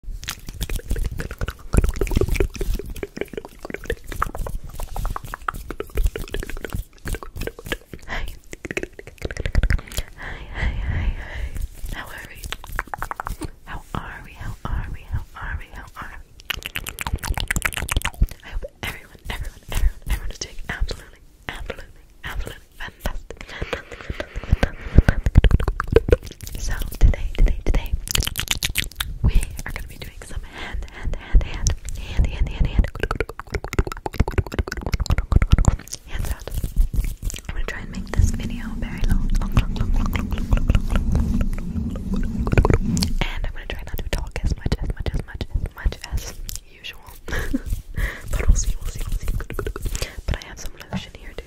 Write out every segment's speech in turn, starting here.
Hi. Hi, hi, How are we? How are we? How are we? How are we? I hope everyone, everyone, everyone, everyone is doing absolutely, absolutely, absolutely fantastic. So today, today, today, we are gonna be doing some hand, hand, hand, hand, hand, hand, hand, hand, hand I'm gonna try and make this video very long, and I'm gonna try not to talk as much, as much, as much, as much as usual. but we'll see, we'll see, we'll see. But I have some lotion here too.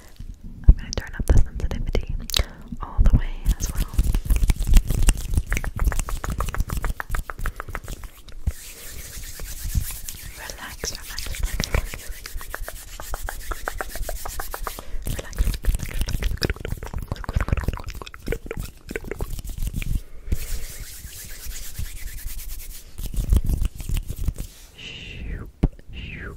I'm going to turn up the sensitivity all the way as well. Relax, relax, relax, relax. Relax, relax, relax. Shoop, shoop.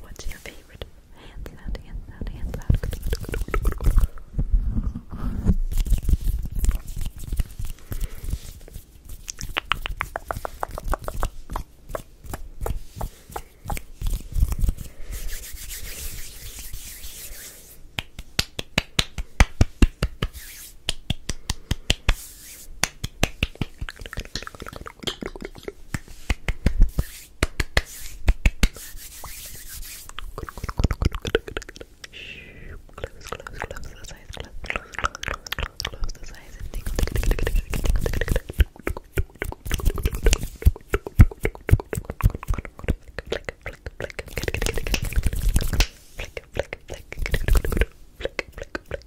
What's your favorite Hands out, hands hands out. Good, good, good, Close, close, close those eyes, close, close, close, close, close, close those eyes and tingle, tingle, tingle, tingle, tingle, tingle, tingle. Flick, flick, flick, flick, flick, flick. Flick, flick, flick. Relax, relax, relax.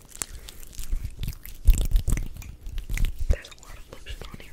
There's a lot of lotion on here.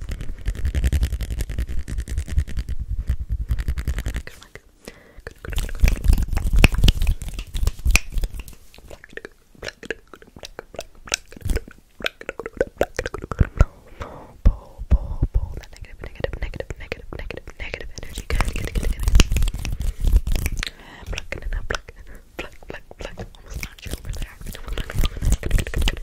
Good luck. Good, good, good, good. No, no, pull, pull, pull that negative, negative, negative, negative, negative, negative energy. Good, good, good, good. Pluck it in, pluck it in, pluck, pluck, pluck. Almost knocked you over there. Good, good, good, good, good,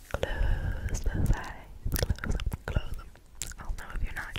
Close Close them. Close them. I'll oh, know if you're not.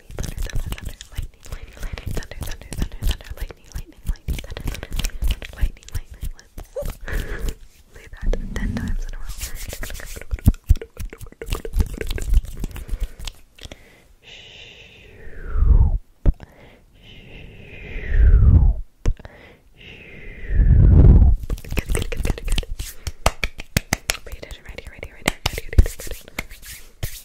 lightning, thunder, thunder, thunder, lightning, lightning, lightning, thunder, thunder, thunder, thunder, lightning, lightning, lightning, thunder, thunder, lightning, lightning, lightning. Say that ten times in a row. Good, good, good, good, good. But you right here, right here, right here, right here, right here.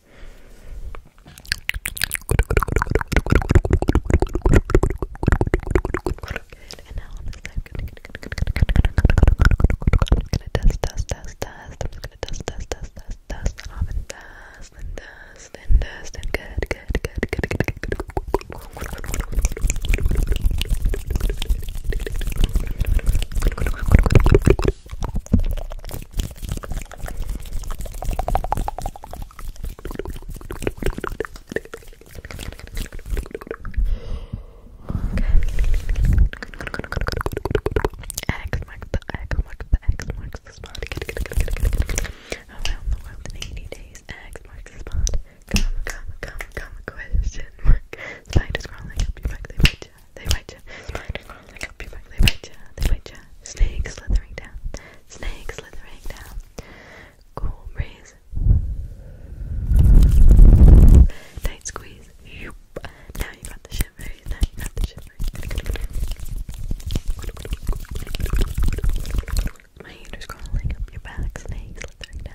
and now on this side, I'm gonna dust, dust, dust, dust. I'm just gonna dust, dust, dust, dust, dust off and dust and dust and dust and good, good, good, good, good, good, good. X marks the X marks the X marks the spot. Around the world in 80 days. X marks the spot. Come, come, come, come. Question mark. Spider scrolling up your back bite you, they bite you. they crawling up your back, they bite you, they bite you. Snakes slithering down, snakes slithering down. Cool breeze. Tight squeeze. Now you got the shivers. Now you got the shivers. My hand crawling up your back, snake slithering down.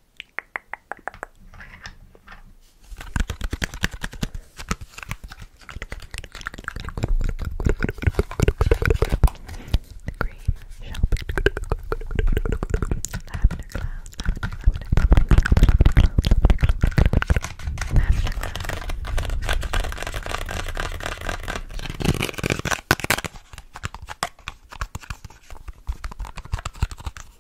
The cream shall be lavender cloud, lavender, lavender, lavender cloud.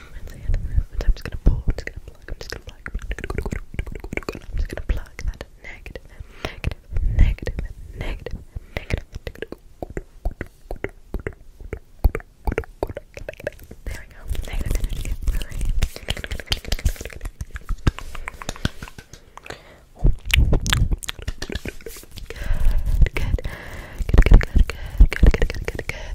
Wednesday at I'm just gonna pull, I'm just gonna plug, I'm just gonna plug, I'm just gonna plug that negative, negative, negative, negative, negative. There we go. Negative good, good, good, good, good, good, good, good, good, good, good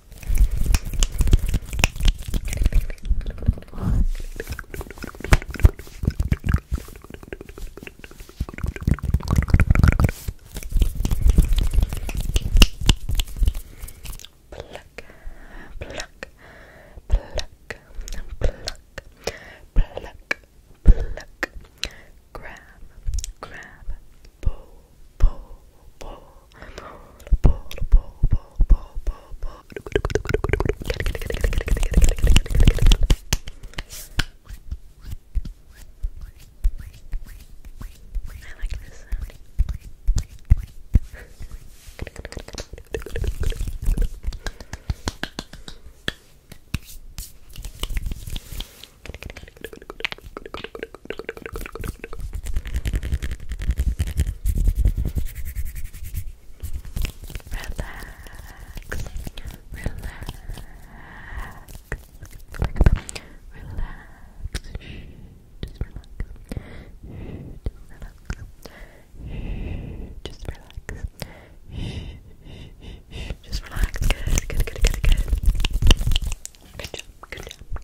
Pluck, pluck, pluck, pluck, pluck, pluck. Grab, grab, pull, pull, pull, pull, pull, pull, pull, pull, pull. I like this sound just relax, good, good, good, good, good. Good job, good job,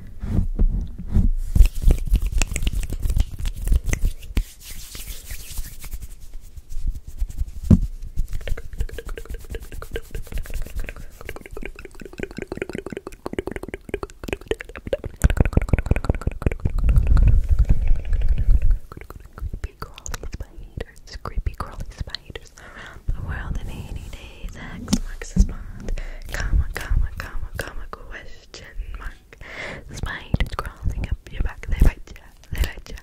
Creepy crawling spiders, creepy crawling spiders around world in 80 days. X marks the spot. Comma, comma, comma, comma, question mark back. Spiders crawling up your back, they bite ya, they bite ya.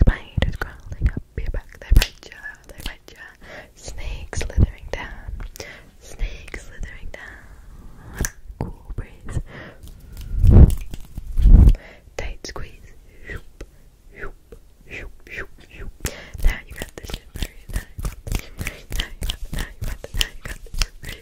Spiders crawling up your back, they bite ya, they bite ya. Snakes slithering down, snake slithering down. Cool breeze. Tight squeeze. Now you got the shimmery, now you got now you got now you got the, now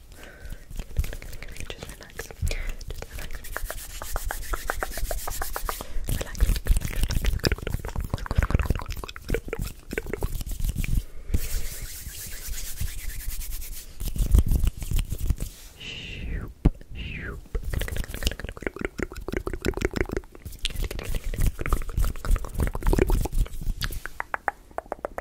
Just relax. Just relax. Relax. Shoop, shoop.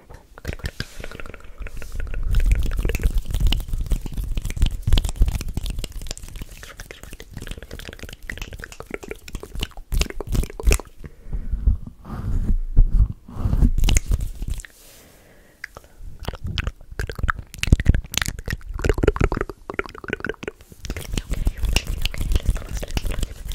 Okay, okay, okay, okay. Let's close, let's close, let's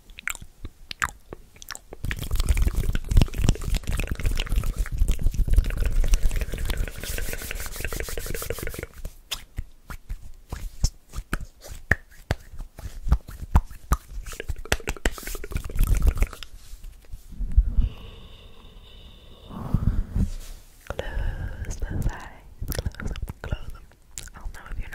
Close those eyes, close them, close them. I'll know oh, if you're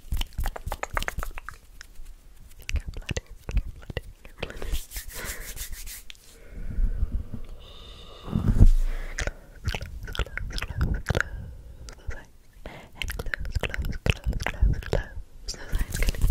Finger bladder, finger bladder, finger bladder. close, close, close, close those eyes. And close, close, close, close, close those eyes. Good. Good.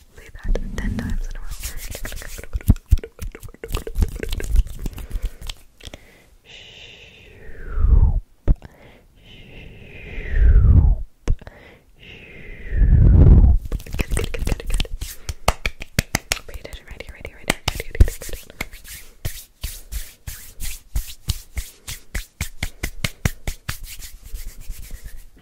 Say that ten times in a row. Good, good, good, good, good. Pay attention right here, right here, right here. Good, good, good, good, good. Good,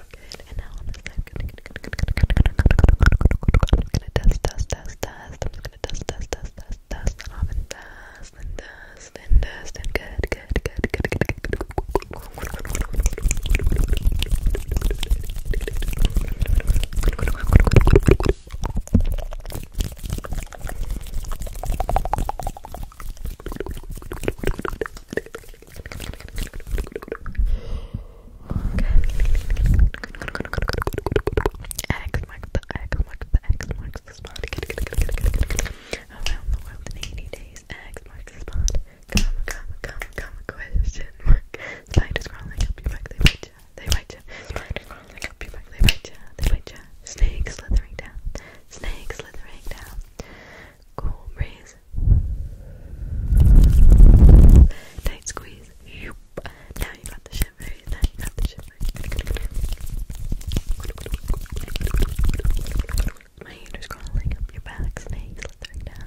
Good. And now I'm just like, I'm gonna dust, dust, dust, dust. I'm just gonna dust, dust, dust, dust, dust. And off and dust, and dust, and dust. And good, good, good, good, good, good, good. Good, X marks the X marks the X marks the spot. Around the world in 80 days. X marks the spot. Comma, comma, comma, comma, question mark. Spiders crawling up your back, they bite ya, they bite ya. Spiders crawling up your back, they bite ya, they bite ya. Snake slithering down, snake slithering down cool breeze. Tight squeeze. Now you got the shivers. Now you got the shivers. My hand is crawling up your back, snakes slithering down.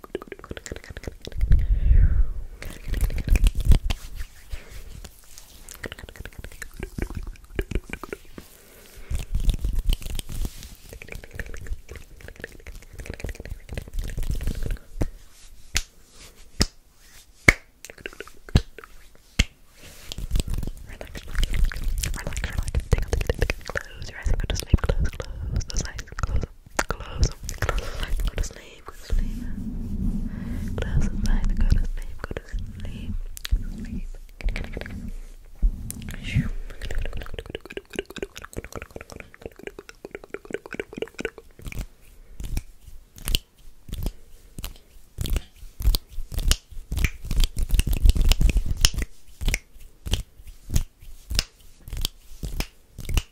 Relax, relax, take off the close your eyes and go to sleep, close, close those eyes, close Close up. go to sleep, go to sleep. Close the go to sleep, go to sleep. Sleep.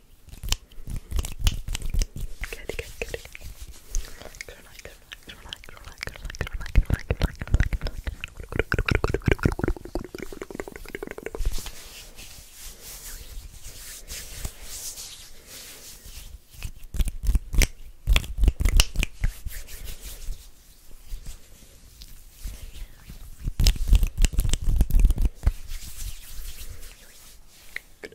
Good, good, good. Relax, relax, relax, relax, relax, relax, relax, relax, Good,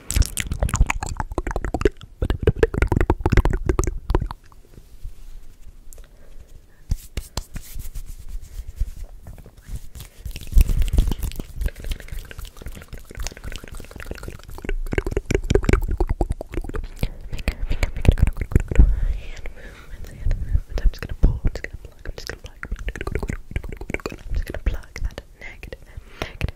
hand movements, I'm just gonna pull, I'm just gonna plug, I'm just gonna plug, I'm just gonna plug that negative, negative,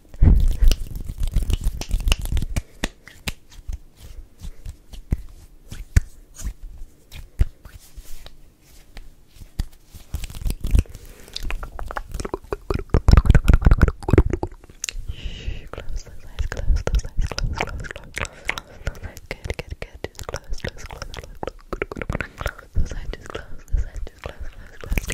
Shh, close those eyes, close those eyes, close, close, close, close, close those eyes. Good, good, good. Just close, close, close, close, close, close those eyes. Just close those eyes. Just close, close, close. Good.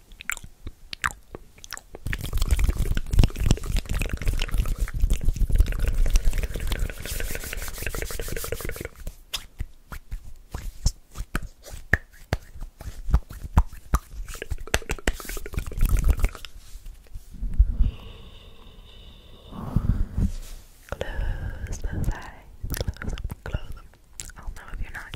Close those eyes, close them, close them. I'll know if you're not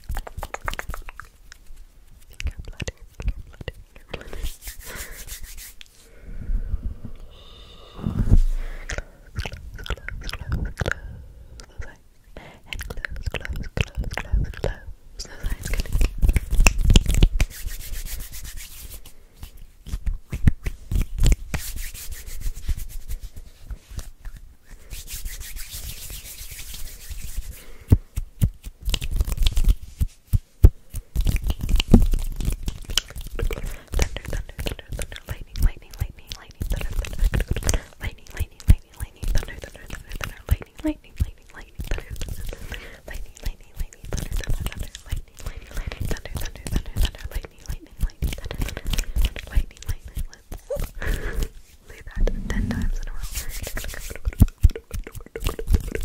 Finger flutter, finger flutter, finger flutter. close, close, close, close those eyes. And close, close, close, close, close those eyes. Good. Good. Thunder, thunder, thunder, thunder, lightning, lightning, lightning, lightning, thunder, thunder, lightning, lightning, lightning, lightning, thunder, thunder, thunder, thunder, lightning, lightning, lightning, lightning, thunder, lightning, lightning, lightning, thunder, thunder, thunder, lightning, lightning, lightning, thunder, thunder, thunder, thunder, lightning, lightning, lightning, thunder, thunder, lightning, lightning, lightning, Say that ten times in a row. Good, good, good, good, good.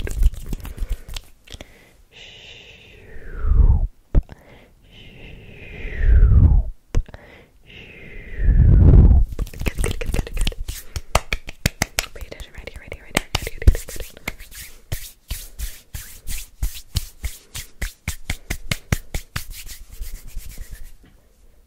Pay attention right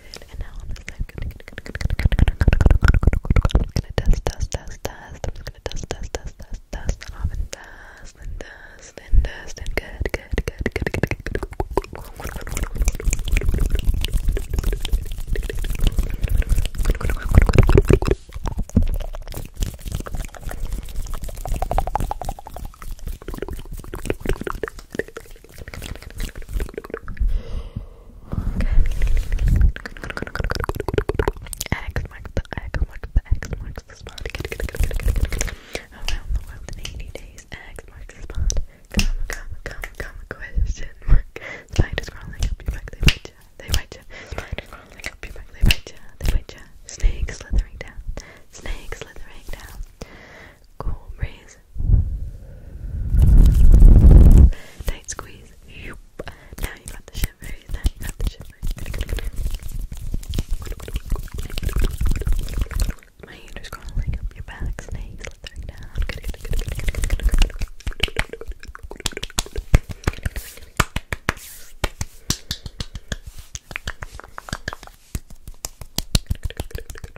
good. And now on this side, I'm gonna dust, dust, dust, dust. I'm just gonna dust, dust, dust, dust, dust off and dust and dust and dust and good, good, good, good, good, good, good. X marks the X marks the X marks the spot. Around the world in 80 days. X marks the spot. Come, come, come, come. Question mark. Spiders crawling up your back. They bite ya. They bite ya. Spiders crawling up your back. They bite ya. They bite ya. Snakes slithering down. Snakes slithering down. Cool breeze Tight squeeze. Now you got the shivers. Now you got the shivers. My hand is crawling up your back, snakes slithering down.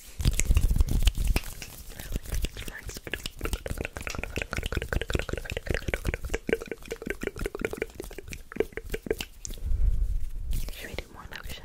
Relax, relax. Should we do more lotion?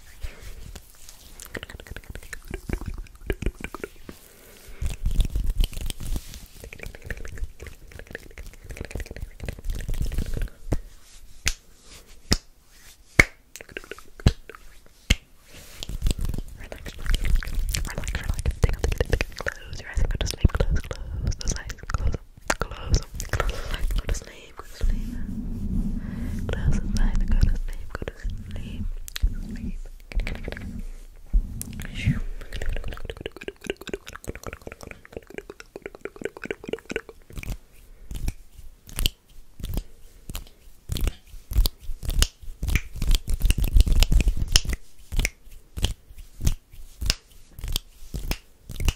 Relax, relax, relax. Take off the clothes. Close your eyes and go to sleep. Close, close those eyes. Close close, up. go to sleep, go to sleep. Close the go to sleep, go to sleep. Sleep.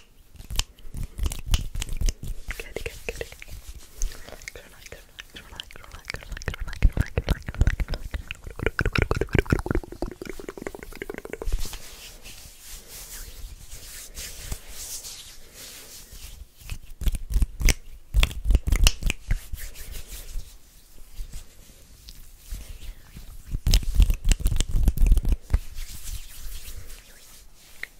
Good, good, good. Relax, relax, relax, relax, relax, relax, relax, relax, Good,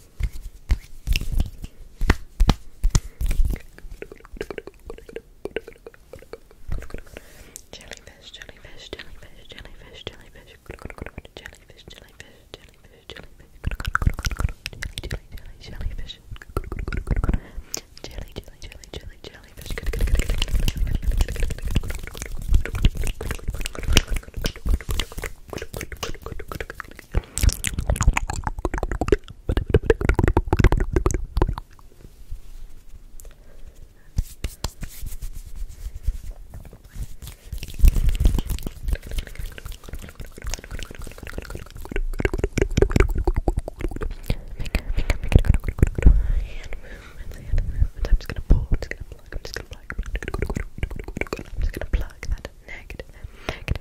Jellyfish, jellyfish, jellyfish, jellyfish, jellyfish, jellyfish, jellyfish, jellyfish, jellyfish, jellyfish, jelly, jelly, jelly, jelly, jellyfish. Hand movement, I'm just gonna pull, I'm just gonna plug, I'm just gonna plug, I'm just gonna plug that negative, negative,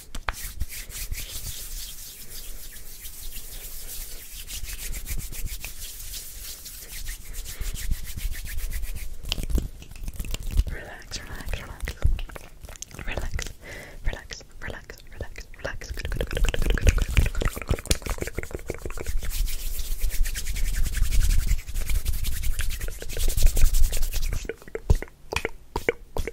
Relax, relax, relax. Relax, relax, relax, relax, relax. Good, good, good, good, good, good, good, good, good, good, good, good, good, good, good, good.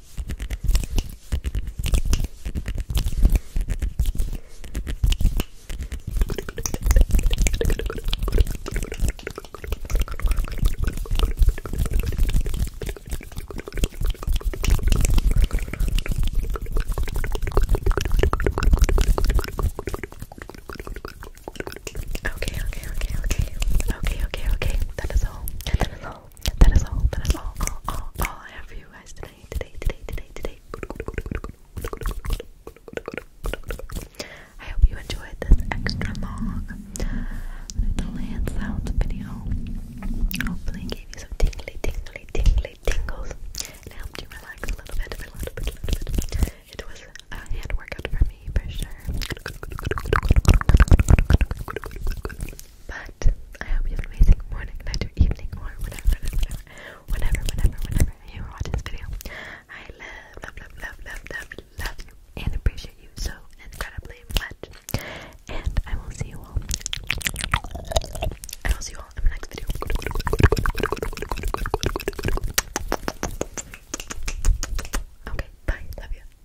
Okay, okay, okay, okay, okay, okay, okay. That is all. That is all all. That is all. That is all. All, all, all I have for you guys today. Today, today, today, today. I hope you enjoyed this extra long little hand sounds video. Hopefully, it gave you some tingly, tingly, tingly tingles and helped you relax a little bit, a little bit, a little bit. It was a hand workout for me for sure. But I hope you have an amazing morning, night, evening, or whatever, whatever, whenever, whenever, whenever you are watching this video. I love, love, love, love, love, you and appreciate you so incredibly much. And I will see you all. I will see you all in the next video. Okay, bye. Love you.